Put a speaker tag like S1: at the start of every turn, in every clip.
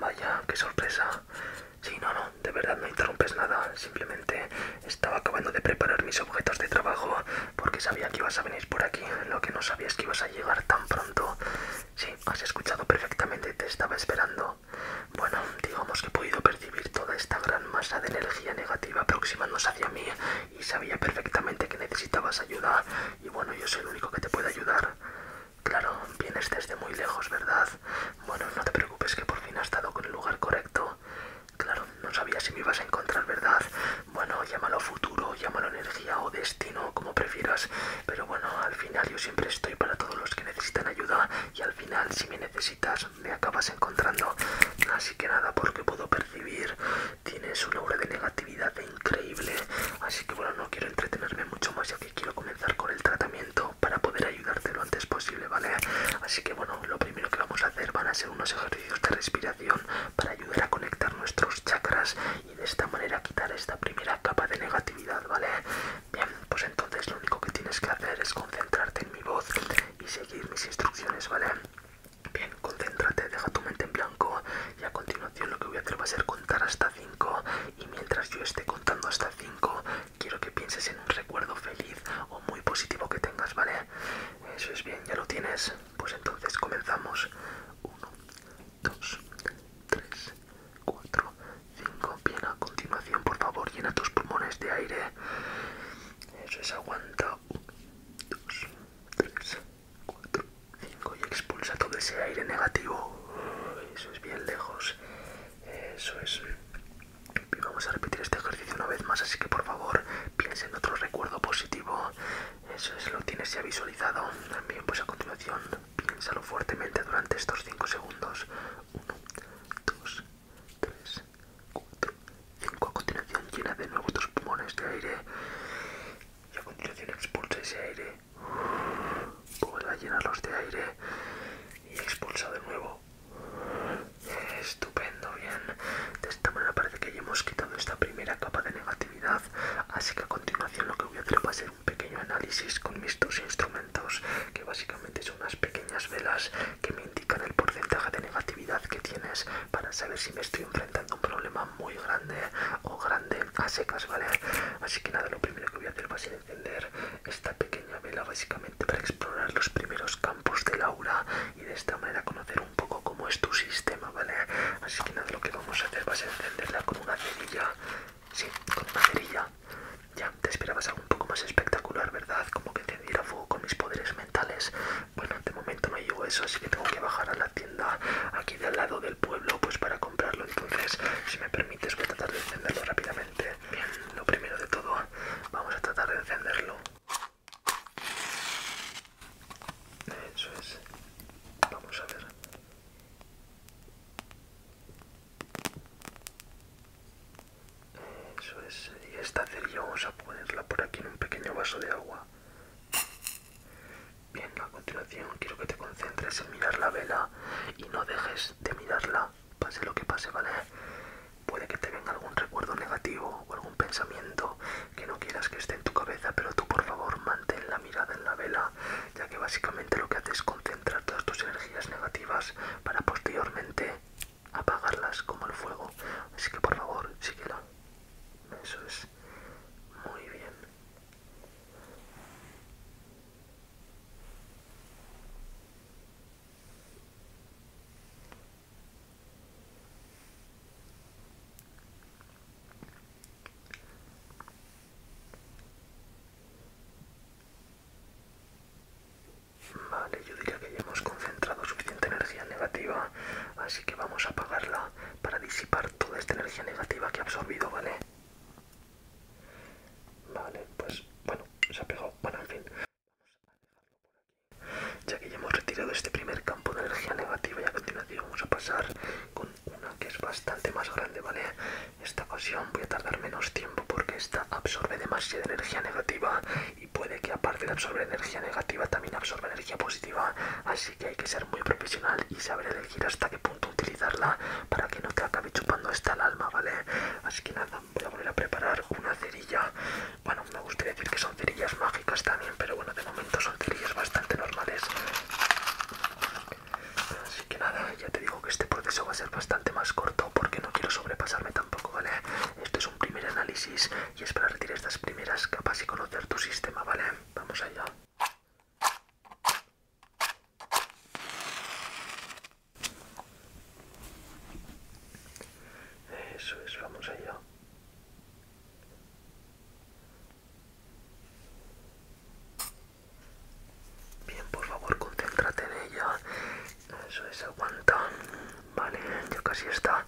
S1: Vaya, qué sorpresa. Sí, no, no, de verdad no interrumpes nada. Simplemente estaba acabando de preparar mis objetos de trabajo porque sabía que ibas a venir por aquí. Lo que no sabía es que ibas a llegar tan pronto. Sí, has escuchado perfectamente, te estaba esperando. Bueno, digamos que he podido percibir toda esta gran masa de energía negativa aproximándose hacia mí y sabía perfectamente que necesitabas ayuda y bueno, yo soy el único que te puede ayudar. Claro, vienes desde muy lejos, ¿verdad? Bueno, no te preocupes que por fin has estado con el lugar correcto. Claro, no sabía si me ibas a encontrar, ¿verdad? Bueno, llámalo futuro, llámalo energía o destino, como prefieras. Pero bueno, al final yo siempre estoy para todos los que necesitan ayuda y al final si me necesitas me acabas encontrando. Así que nada, porque puedo percibir tienes una aura de negatividad e increíble. Así que bueno, no quiero entretenerme mucho más ya que quiero comenzar con el tratamiento para poder ayudarte lo antes posible, ¿vale? Así que bueno, lo primero que vamos a hacer van a ser unos ejercicios de respiración para ayudar a conectar nuestros chakras y de esta manera quitar esta primera capa de negatividad, ¿vale? Bien, pues entonces lo único que tienes que hacer es concentrarte en mi voz y seguir mis instrucciones, ¿vale? Bien, concéntrate, deja tu mente en blanco y a continuación lo que voy a hacer va a ser contar hasta 5 y mientras yo esté contando hasta 5 quiero que pienses en un recuerdo feliz o muy positivo que tengas, ¿vale? Eso es bien, ya lo tienes. Pues entonces comenzamos. 1, 2, 3, 4, 5. Bien, a continuación, por favor, llena tus pulmones de aire. Eso es, aguanta. 1, 2, 3, 4, 5 y expulsa todo ese aire negativo. Eso es bien lejos. Eso es. vamos a repetir este ejercicio una vez más, así que por favor piensa en otro recuerdo positivo. Eso es, lo tienes ya visualizado. también pues a continuación, piénsalo fuertemente durante estos 5 segundos. 1, 2, 3, 4, 5. A continuación, llena de nuevo tus pulmones de aire y a continuación expulsa ese aire. Vuelve a llenarlos de aire y expulsa de nuevo. Estupendo, bien. De esta manera parece que ya hemos quitado esta primera capa de negatividad, así que a continuación lo que voy a hacer va a ser un pequeño análisis con mis dos instrumentos, que básicamente son unas pequeñas velas que me indican el porcentaje de negatividad que tienes para saber si me estoy un problema muy grande o grande a secas, ¿vale? Así que nada, lo primero que voy a hacer va a ser encender esta pequeña vela básicamente para explorar los primeros campos del aura y de esta manera conocer un poco cómo es tu sistema, ¿vale? Así que nada, lo que vamos a hacer va a ser encenderla con una cerilla, sí, con una cerilla. Ya, te esperabas algo un poco más espectacular, ¿verdad? Como que encendiera fuego con mis poderes mentales. Bueno, de momento no llevo eso, así que tengo que bajar a la tienda aquí del lado del pueblo pues para comprarlo. Entonces, si me permites, voy a tratar de encenderlo rápidamente. Bien, lo primero de todo, vamos a tratar de encenderlo. Eso es. Vamos a ver. Eso es. Y esta cerilla vamos a ponerla por aquí en un pequeño vaso de agua. Bien, a continuación quiero que te concentres en mirar la vela y no dejes de mirarla, pase lo que pase, ¿vale? Puede que te venga algún recuerdo negativo o algún pensamiento que no quieras que esté en tu cabeza, pero tú por favor mantén la mirada en la vela, ya que básicamente lo que haces es concentrar todas tus energías negativas para posteriormente apagarlas como el fuego. Así que por favor, síguela. Eso es muy bien. Vale, yo diría que ya hemos concentrado suficiente energía negativa, así que vamos a apagarla para disipar toda esta energía negativa que ha absorbido, ¿vale? Vale, pues bueno, se ha pegado. Bueno, en fin, Ya que ya hemos retirado este primer campo de energía negativa y a continuación vamos a pasar con una que es bastante más grande, ¿vale? Esta ocasión voy a tardar menos tiempo porque esta absorbe demasiada energía negativa y puede que aparte de absorber energía negativa también absorba energía positiva, así que hay que ser muy profesional y saber elegir hasta qué punto utilizarla para que no te acabe chupando hasta el alma, ¿vale? Así que nada, voy a volver a preparar una cerilla. Bueno, me gustaría decir que son cerillas mágicas también, pero bueno, de momento son cerillas bastante normales. Así que nada, ya te digo que este proceso va a ser bastante más corto porque no quiero sobrepasarme tampoco, ¿vale? Esto es un primer análisis y es para retirar estas primeras capas y conocer tu sistema, ¿vale? vamos allá. Eso es, vamos allá. Bien, por favor, concéntrate en ella. Eso es, aguanta. Vale, ya casi está.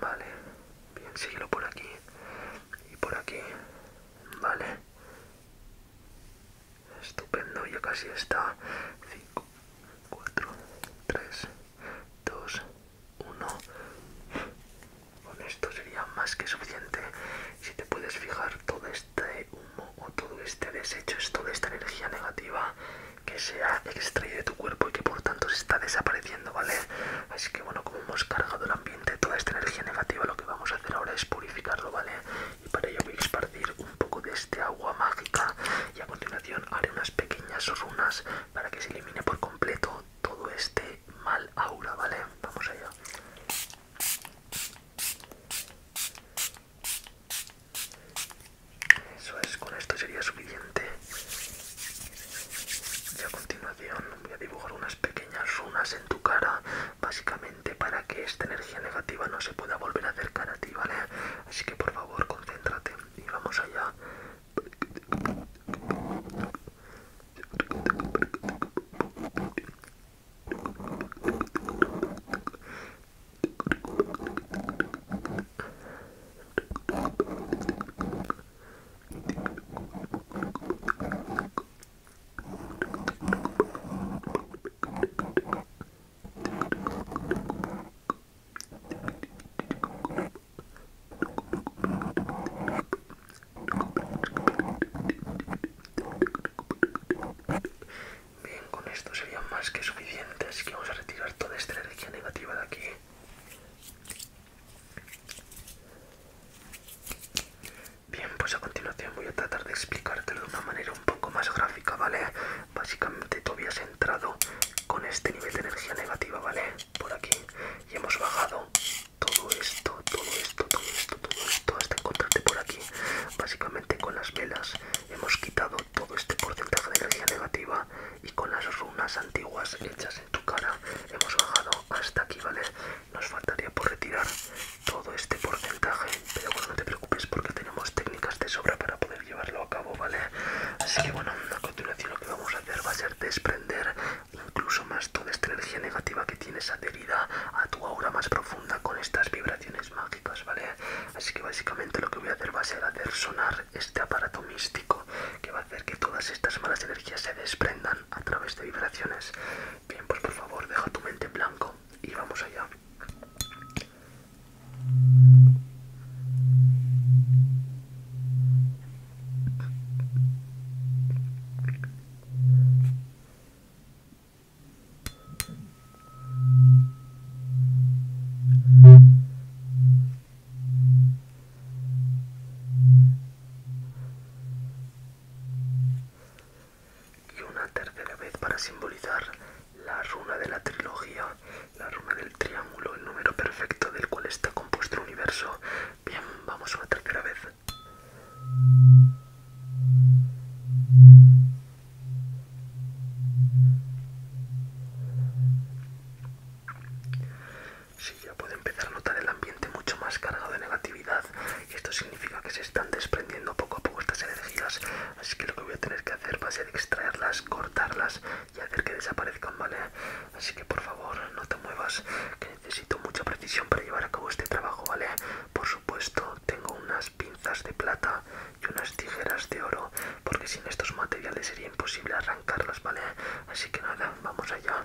S1: Vale, bien, síguelo por aquí y por aquí. Vale. Estupendo, ya casi está. 5, 4, 3, 2, 1. Con esto sería más que suficiente. Si te puedes fijar, todo este humo o todo este desecho es toda esta energía negativa que se ha extraído de tu cuerpo y que por tanto se está desapareciendo, ¿vale? Así que bueno, como hemos cargado el ambiente, toda esta energía negativa, lo que vamos a hacer ahora es purificarlo, ¿vale? Y para ello voy a esparcir un poco de este agua mágica y a continuación haré unas pequeñas runas para que se elimine por completo todo este mal aura, ¿vale? Vamos allá. Eso es, con esto sería suficiente. Y a continuación voy a dibujar unas pequeñas runas en tu cara, básicamente para que esta energía negativa no se pueda volver a acercar a ti, ¿vale? Así que por favor, concéntrate y vamos allá. Bien, con esto sería más que suficiente, así que vamos a retirar toda esta energía negativa de aquí. Bien, pues a continuación voy a tratar de explicártelo de una manera un poco más gráfica, ¿vale? Básicamente tú habías entrado con este nivel de energía negativa, ¿vale? Por aquí. Y hemos bajado todo esto, todo esto, todo esto, todo esto, hasta encontrarte por aquí. Básicamente con las velas hemos quitado todo este porcentaje de energía negativa y con las runas antiguas hechas en tu cara hemos bajado hasta aquí, ¿vale? Nos faltaría por retirar todo este porcentaje, pero bueno, no te preocupes porque tenemos técnicas de sobra para poder llevarlo a cabo, ¿vale? Así que bueno, a continuación lo que vamos a hacer va a ser desprender incluso más toda esta energía negativa que tienes adherida a tu aura más profunda con estas vibraciones mágicas, ¿vale? Así que básicamente lo que voy a hacer va a ser hacer sonar este aparato místico que va a hacer que todas estas malas energías se desprendan a través de vibraciones. Bien, pues por favor, deja tu mente en blanco y vamos allá. Y una tercera vez para simbolizar la runa de la trilogía, la runa del triángulo, el número perfecto del cual está compuesto el universo. Bien, vamos una tercera vez. Sí, ya puedo empezar a notar el ambiente mucho más cargado de negatividad y esto significa que se están desprendiendo poco a poco estas energías, así que lo que voy a tener que hacer va a ser extraerlas, cortarlas y hacer que desaparezcan, ¿vale? Así que por favor, no te muevas, que necesito mucha precisión para llevar a cabo este trabajo, ¿vale? Por supuesto, tengo unas pinzas de plata y unas tijeras de oro porque sin estos materiales sería imposible arrancarlos, ¿vale? Así que nada, vamos allá.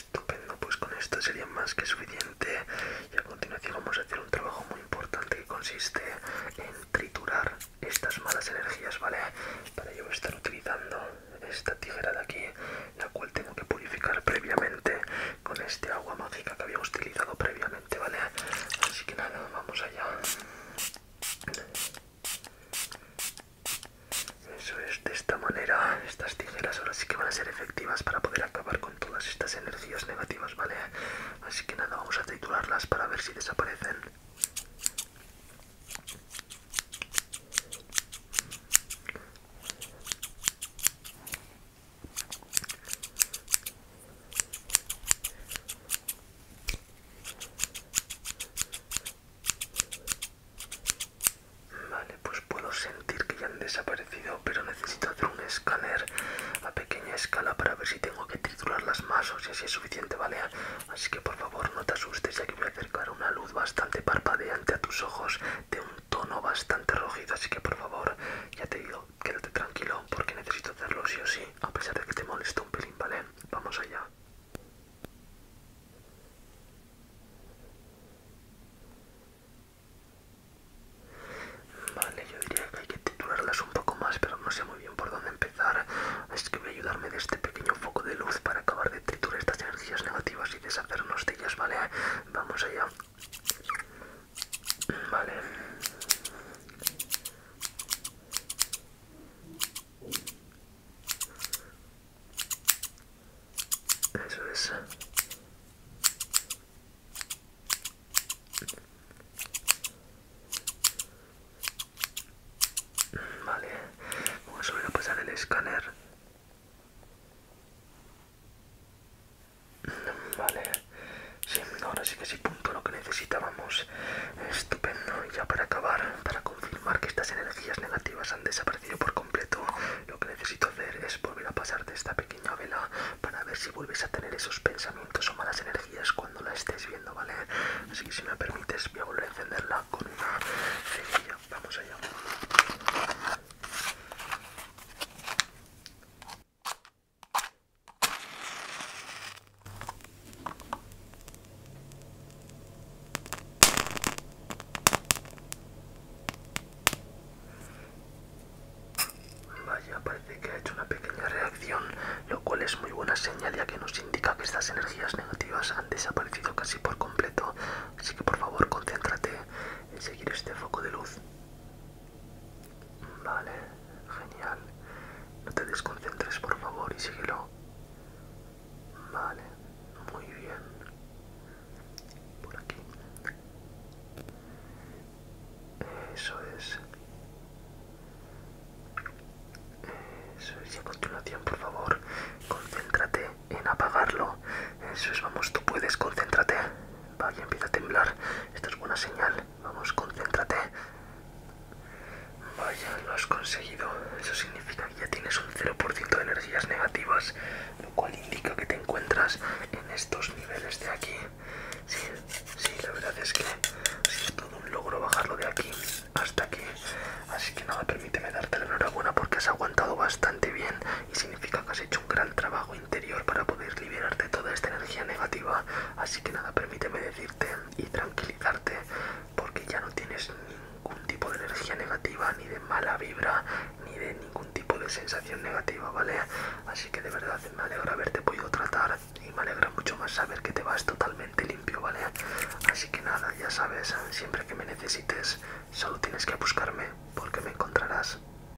S1: Estupendo, pues con esto sería más que suficiente y a continuación vamos a hacer un trabajo muy importante que consiste en triturar estas malas energías, ¿vale? Para ello voy a estar utilizando esta tijera de aquí, la cual tengo que purificar previamente con este agua mágica que habíamos utilizado previamente. ¿vale? Así que nada, vamos allá. Eso es, de esta manera, estas tijeras ahora sí que van a ser efectivas para poder acabar con todas estas energías negativas, ¿vale? Así que nada, vamos a triturarlas para ver si desaparecen. Vale, pues puedo sentir que ya han desaparecido, pero necesito hacer un escáner a pequeña escala para ver si tengo que las más o si así es suficiente, ¿vale? Así que por favor no te asustes ya que voy a acercar una luz bastante parpadeante a tus ojos de un tono bastante rojizo, así que por favor, ya te digo, quédate tranquilo porque necesito hacerlo sí o sí, a pesar de que te molesto un pelín, ¿vale? Vamos allá. Vale, yo diría que hay que triturarlas un poco más, pero no sé muy bien por dónde empezar. Es que voy a ayudarme de este pequeño foco de luz para acabar de triturar estas energías negativas y deshacernos de ellas, ¿vale? Vamos allá. Vale. Eso es. Vale, vamos a volver a pasar el escáner. Vale, sí, ahora sí que sí, punto lo que necesitábamos. Estupendo, y ya para acabar, para confirmar que estas energías negativas han desaparecido por completo, lo que necesito hacer es volver a de esta pequeña vela para ver si vuelves a tener esos pensamientos o malas energías cuando la estés viendo, ¿vale? Así que si me permites, voy a volver a encenderla con una cerilla. Vamos allá. Vaya, parece que ha hecho una pequeña reacción, lo cual es muy buena señal ya que nos indica que estas energías negativas han desaparecido casi por completo. Así que por favor, concéntrate en seguir este foco de luz. Vale, genial. No te desconcentres, por favor, y síguelo. Vale, muy bien. Por aquí. Eso es. Eso es. Y a continuación, por favor, concéntrate en apagarlo. Eso es, vamos, tú puedes, concéntrate. Vaya, empieza a temblar. Esto es buena señal. Vamos, concéntrate. Vaya, lo has conseguido. Eso significa que ya tienes un 0% de energías negativas, lo cual indica que te encuentras en estos niveles de aquí. Sí, sí, la verdad es que es todo un logro bajarlo de aquí hasta aquí. Así que nada, permíteme darte la enhorabuena porque has aguantado bastante bien y significa que has hecho un gran trabajo interior para poder liberarte toda esta energía negativa. Así que nada, permíteme decirte y tranquilizarte porque ya no tienes ningún tipo de energía negativa, ni de mala vibra, ni de ningún tipo de sensación negativa, ¿vale? Así que de verdad me alegra haberte podido tratar y me alegra mucho más saber que te vas totalmente limpio, ¿vale? Así que nada, ya sabes, siempre que me necesites, solo tienes que buscarme porque me encontrarás.